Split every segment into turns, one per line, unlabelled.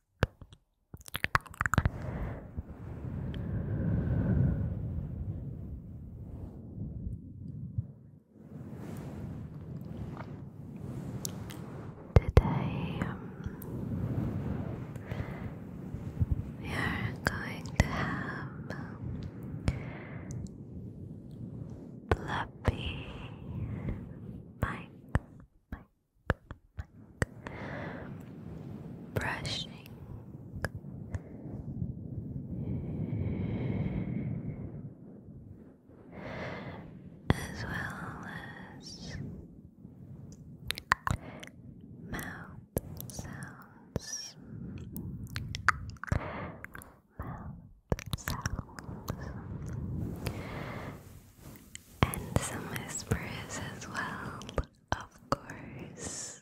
Today um, we are going to have um, Fluffy Mike, brushing as well as mouth sounds mouth sounds and some whispers as well of course.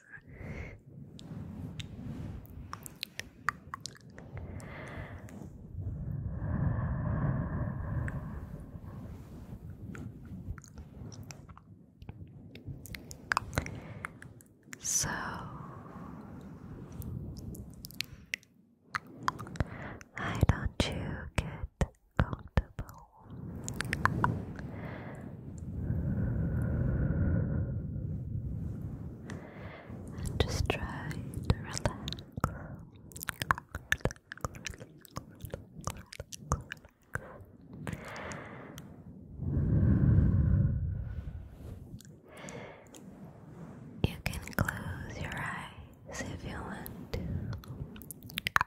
So why don't you get comfortable. just try to relax. relax. You can close your eyes if you want to.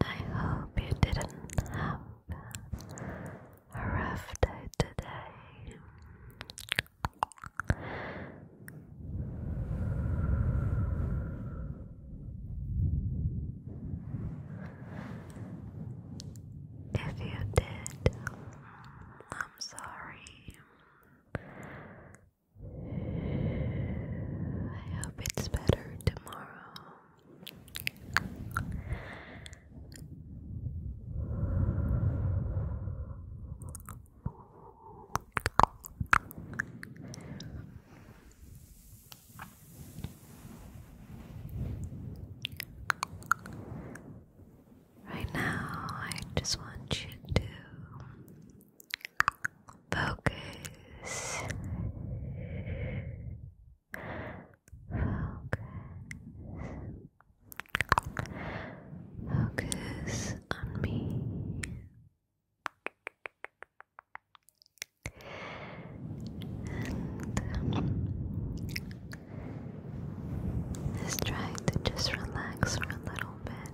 I hope you didn't have a rough day today. If you did, I'm sorry. I hope it's better tomorrow. Right now, I just want you to focus. Focus. Focus on me. And um, try to just relax for a little bit.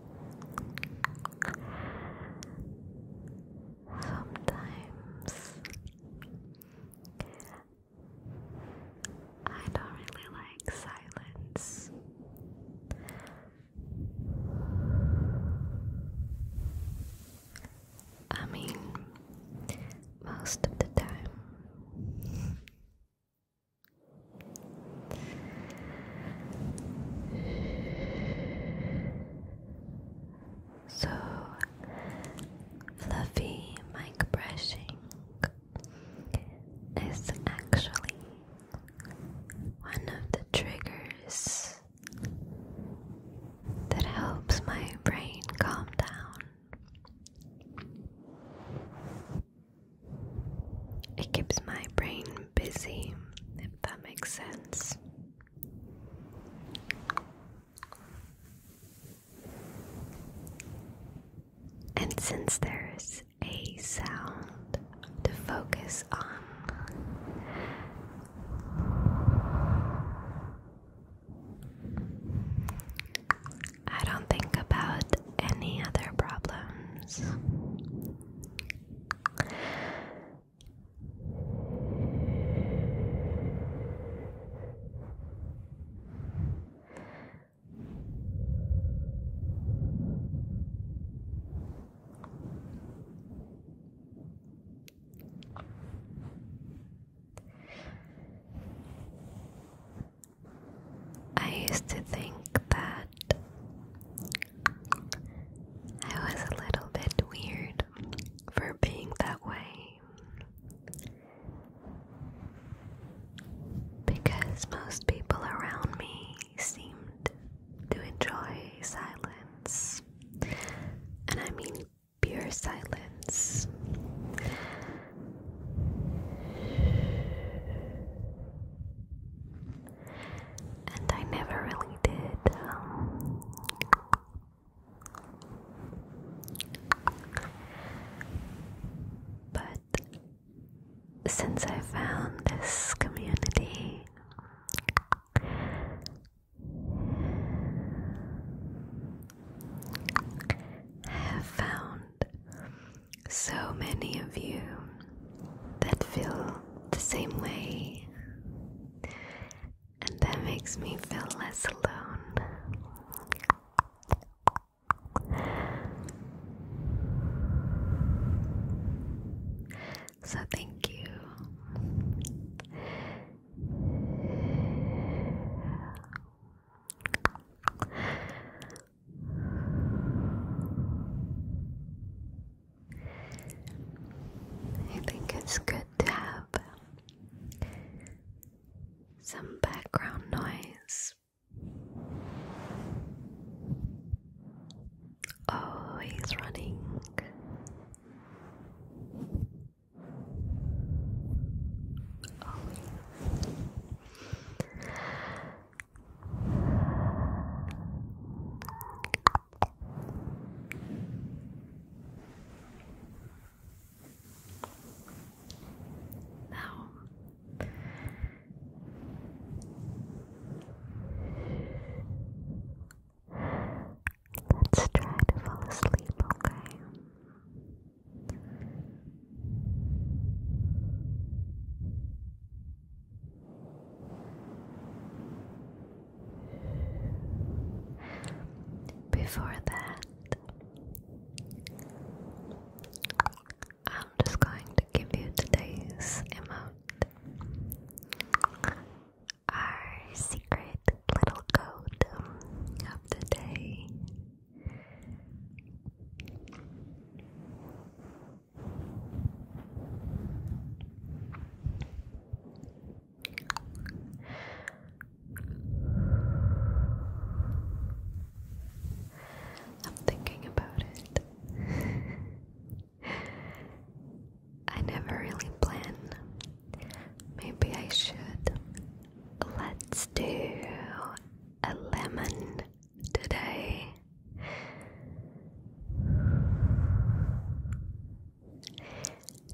Sometimes I don't really like silence. I mean, most of the time. So fluffy mic brushing is actually one of the triggers that helps my brain calm down. It keeps my brain busy, that makes sense. And since there's a sound to focus on, I don't think about any other problems. I used to think that I was a little bit weird for being that way. Because most people around me seemed to enjoy silence. And I mean pure silence and I never really did. Um, but since I found this community, I have found so many of you that feel the same way, and that makes me feel less alone. So, thank you. I think it's good to have some background noise. Oh, he's running. Oh. Now, let's try to fall asleep, okay? Before that, I'm just going to give you today's emote. Our secret little code of the day. I'm thinking about it. I never really plan. Maybe I should. Let's do a lemon today.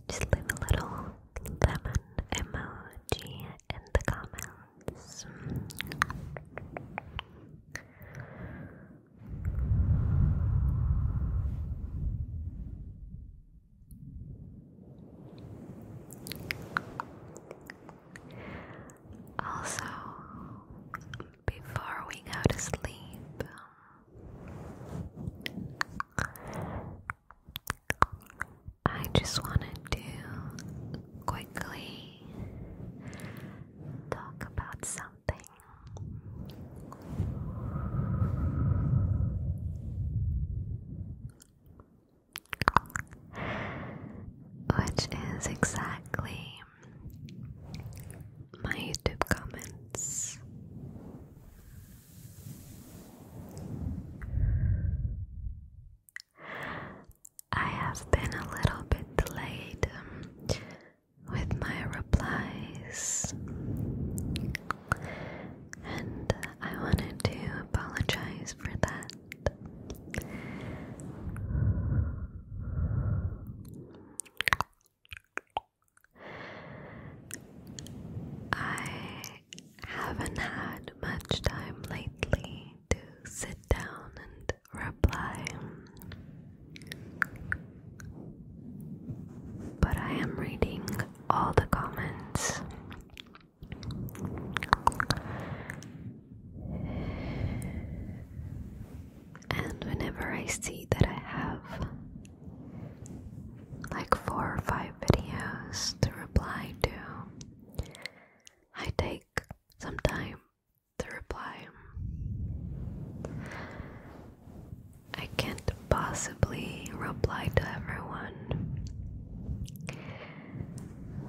Just leave a little lemon emoji in the comments. Also, before we go to sleep, I just wanted to quickly talk about something. Which is exactly my YouTube comments. I have been a little bit delayed um, with my replies, and I wanted to apologize for that. I haven't had much time lately to sit down and reply, but I am reading all the comments. And whenever I see that I have like four or five videos to reply to, I take some time to reply. I can't possibly reply to everyone.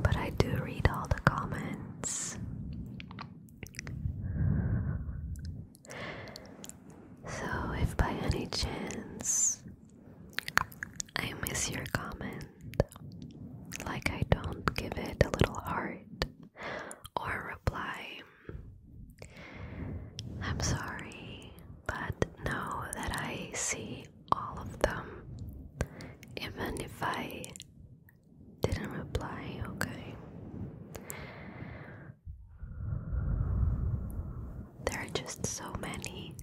But I do read all the comments. So, if by any chance I miss your comment, like I don't give it a little heart or reply, I'm sorry, but know that I see all of them, even if I didn't reply, okay. There are just so many,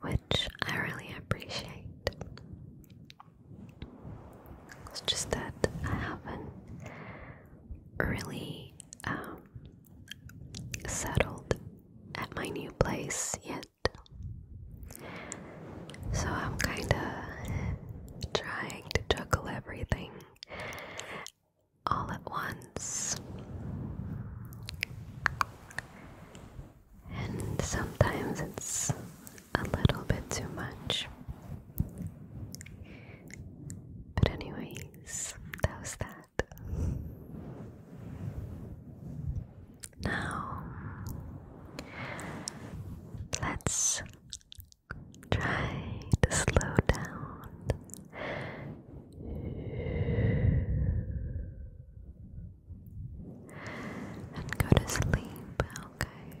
which I really appreciate. It's just that I haven't really um, settled at my new place yet. So I'm kind of trying to juggle everything all at once. And sometimes it's a little bit too much. But, anyways, that was that. Now, let's try to slow down. And go to sleep, okay.